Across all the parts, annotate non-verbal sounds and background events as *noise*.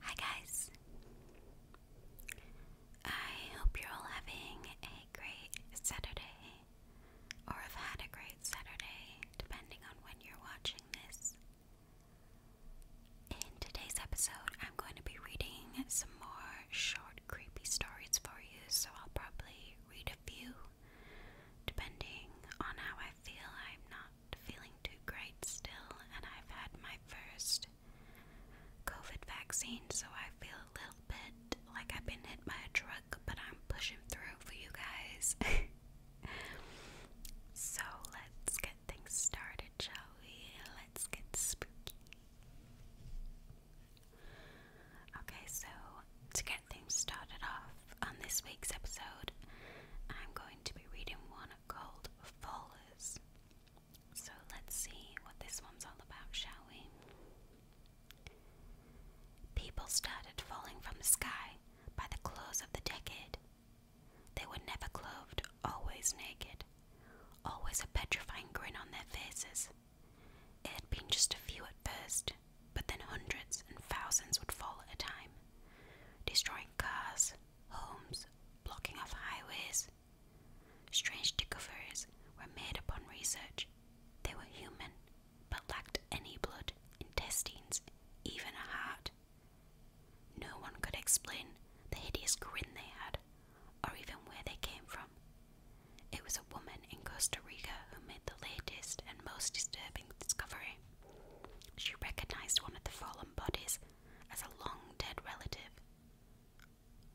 Hi, guys. I hope you're all having a great Saturday, or have had a great Saturday, depending on when you're watching this. In today's episode, I'm going to be reading some more short, creepy stories for you, so I'll probably read a few depending on how I feel. I'm not feeling too great still, and I've had my first COVID vaccine, so I feel a little bit like I've been hit by a truck, but I'm pushing through for you guys. *laughs* so let's get things started, shall Let's get spooky. Okay, so to get things started off on this week's episode, I'm going to be reading one called Fallers. So let's see what this one's all about, shall we? People started falling from the sky by the close of the decade. They were never clothed, always naked, always a petrifying grin on their faces. It had been just a few at first, but then hundreds and thousands would fall at a time, destroying cars, homes, blocking off highways. Strange discoveries were made upon research. They were human, but lacked any blood, intestines, even a heart. No one could explain the hideous grin they had, or even where they came from. It was a woman in Costa Rica who made the latest and most disturbing discovery. She recognized one of the fallen bodies as a long dead relative,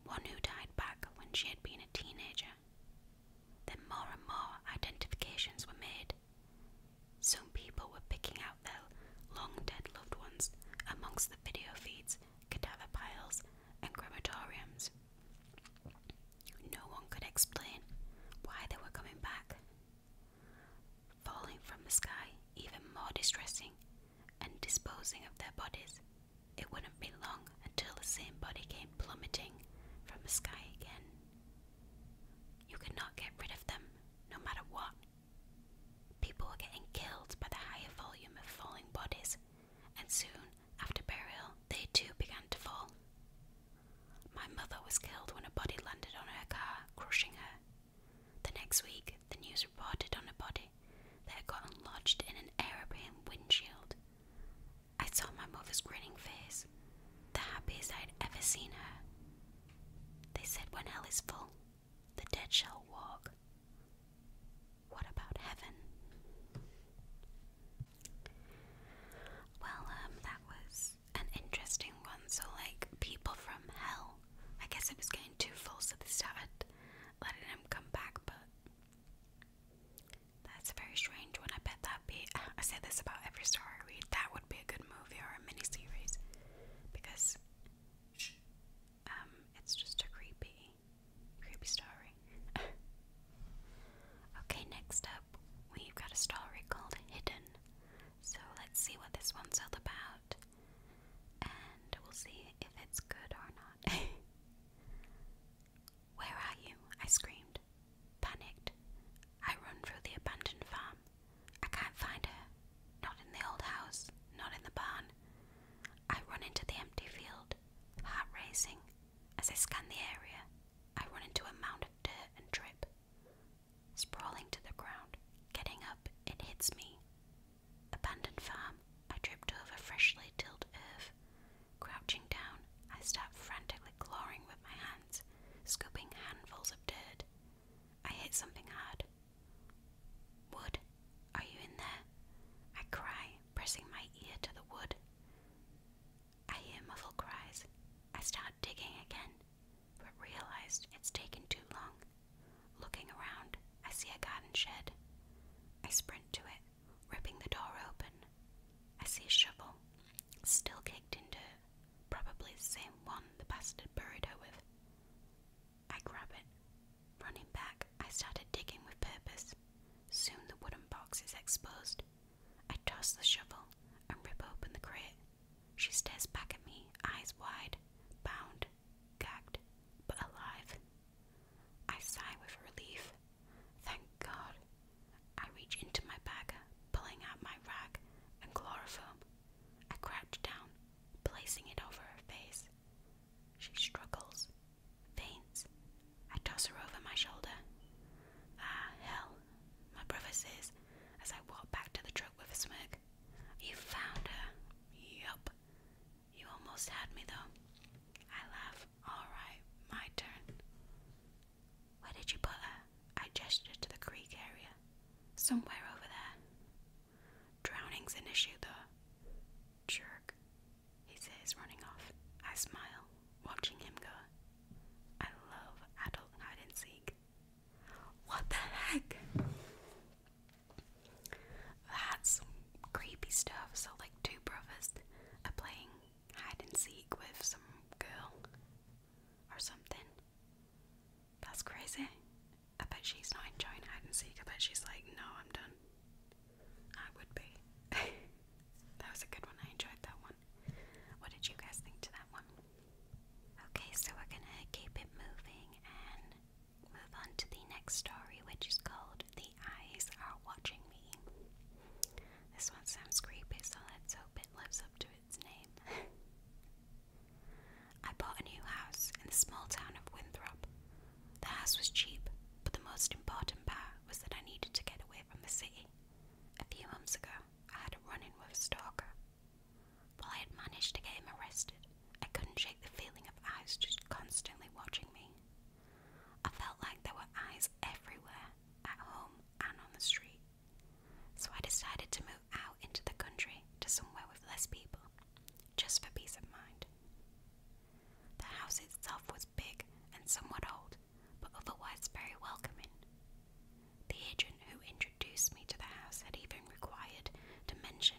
one who died back when she had been a teenager. Then more and more identifications were made. Some people were picking out their long dead loved ones amongst the video feeds, cadaver piles, and crematoriums. No one could explain why they were coming back. Falling from the sky, even more distressing, and disposing of their bodies, it wouldn't be long until the same body came plummeting from the sky again. You could not get rid of them, no matter what. People were getting killed by the higher volume of falling bodies, and soon after burial, they too began to fall. My mother was killed when a body landed on her car, crushing her. The next week, the news reported on a body that had gotten lodged in an aeroplane windshield. I saw my mother's grinning face, the happiest I had ever seen her. They said when hell is full, the dead shall walk. What about heaven? Well, um, that was an interesting one. So, like, people from hell. I guess it was getting too full, so they started letting him come back, but that's a very strange one. I bet that'd be. I say this about every story I read. That would be a good movie or a miniseries because um, it's just a creepy, creepy story. *laughs* okay, next we've got a story called Hidden. So let's see what this one's all about. And we'll see if it's good or not. *laughs* Where are you? I screamed. Panicked. I run through the abandoned farm. I can't find her. Not in the old house, not in the barn. I run into the empty field, heart racing. As I scan the area, I run into a mound dirt and trip. Sprawling to the ground, getting up, it hits me. Abandoned farm, I tripped over freshly tilled earth. Crouching down, I start frantically clawing with my hands, scooping handfuls of dirt. I hit something hard. Wood, are you in there? I cry, pressing my ear to the wood. I hear muffled cries. I start digging again, but realized it's taken too long. Looking around, I see a garden shed. I sprint to it, ripping the door open. I see a shovel, still caked in dirt, probably the same one the bastard buried her with. I grab it. Running back, I start digging with purpose. Soon the wooden box is exposed, I toss the shovel and rip open the crate. She stares back at me, eyes wide, bound, gagged, but alive. I sigh with relief. Thank God. I reach into my bag, pulling out my rag and chloroform. I crouch down, placing it over her face. She struggles, faints, I toss her over my shoulder. Ah, hell, my brother says, as I walk back to the truck with a smirk. You found her. Yup. You almost had me, though. I laugh. Alright, my turn. Where did you put her? I gesture to the creek area. Somewhere over there. Drowning's an issue, though. Jerk he says, running off. I smile, watching him go. I love adult hide and seek. What the heck? That's creepy stuff. So, like, two brothers are playing hide and seek with some girl or something. That's crazy. I bet she's not enjoying hide and seek. I bet she's like, no, I'm done. I would be. *laughs* that was a good one. I enjoyed that one. What did you guys think to that one? Okay, so we're gonna keep it moving and move on to the next story, which is called The Eyes Are Watching Me. This one sounds creepy, so let's hope it lives up to its name. *laughs* I bought a new house in the small town of Winthrop, the house was cheap, but the most important part was that I needed to get away from the city. A few months ago, I had a run in with a stalker. While I had managed to get him arrested, I couldn't shake the feeling of eyes just constantly watching me. I felt like there were eyes everywhere, at home and on the street. So I decided to move out into the country to somewhere with less people, just for peace of mind. The house itself was big and somewhat old, but otherwise very welcoming. The agent who introduced me to the house had even required to mention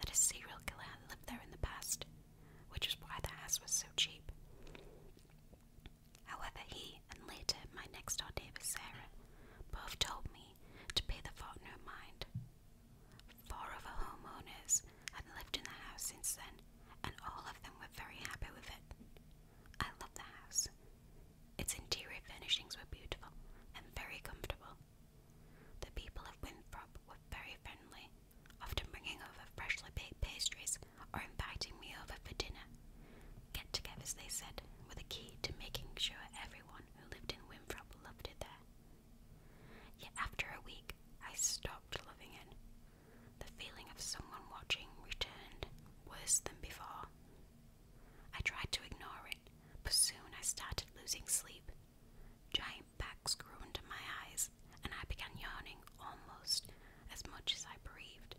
that a serial killer had lived there in the past, which is why the house was so cheap. However, he and later my next door neighbour Sarah both told me to pay the fort no mind, Four other homeowners had lived in the house since then, and all of them were very happy with it. I love the house. Its interior furnishings were beautiful and very comfortable. The people of Winthrop were very friendly, often bringing over freshly baked pastries or inviting me over for dinner. Get togethers, they said, were the key to making sure everyone who lived in Winthrop loved it there. Yet after a week, I stopped loving it. The feeling of someone watching returned, worse than before. I tried to ignore it, but soon I started losing sleep. Giant bags grew under my eyes, and I began yawning almost as much as I breathed.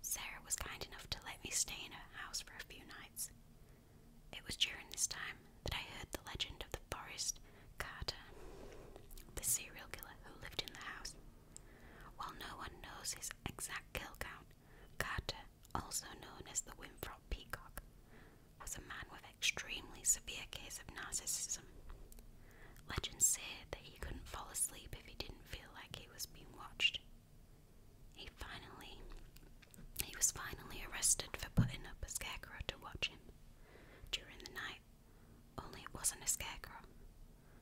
Sarah was kind enough to let me stay in her house for a few nights. It was during this time that I heard the legend of the forest Carter, the serial killer who lived in the house. While no one knows his exact kill count, Carter, also known as the Winthrop Peacock, was a man with extremely severe case of narcissism. Legends say that he couldn't fall asleep if he didn't feel like he was being watched. He finally he was finally arrested for putting up a scarecrow to watch him during the night, only it wasn't a scarecrow.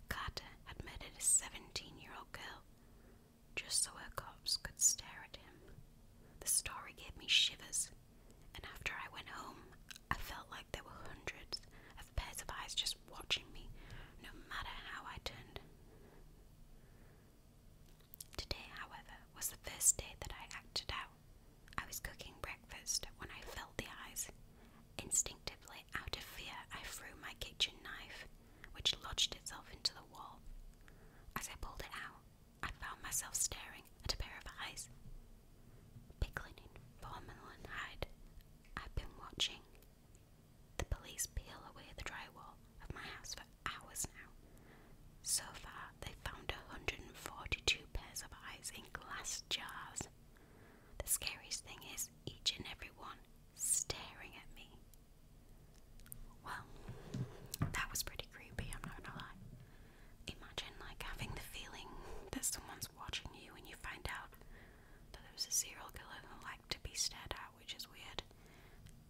Carter had murdered a 17 year old girl just so her cops could stare at him. The story gave me shivers, and after I went home, I felt like there were hundreds of pairs of eyes just watching me, no matter how I turned. Today, however, was the first day that I acted out. I was cooking breakfast when I felt the eyes. Instinctively, out of fear, I threw my kitchen knife, which lodged itself into the wall. As I pulled it out, I found myself staring at a pair of eyes. Pickling in formaldehyde, I've been watching the police peel away the drywall of my house for hours now. So far, they found 142 pairs of eyes in glass jars. The scariest thing is, each and every one staring at me. Well, that was pretty creepy, I'm not gonna lie. Imagine, like, having the feeling that someone's watching you and you find out that there was a serial killer who liked to be stared at, which is weird.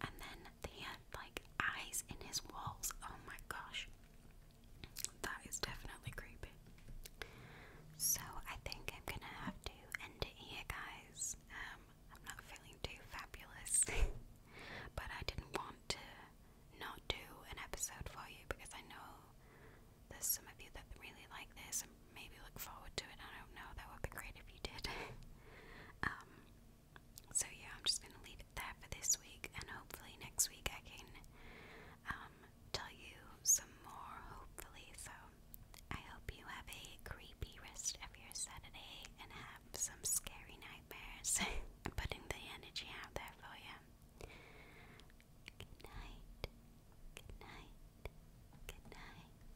And then they had like eyes in his walls. Oh my gosh. That is definitely creepy. So I think I'm gonna have to end it here, guys. Um, I'm not feeling too fabulous, *laughs* but I didn't want to not do an episode for you because I know there's some of you that really like this and maybe look forward to it. I don't know, that would be great if you did. *laughs* Um, so, yeah, I'm just going to leave it there for this week, and hopefully, next week I can um, tell you some more. Hopefully, so I hope you have a creepy rest of your Saturday and have some scary nightmares. *laughs* putting the energy out there for you. Good night. Good night. Good night.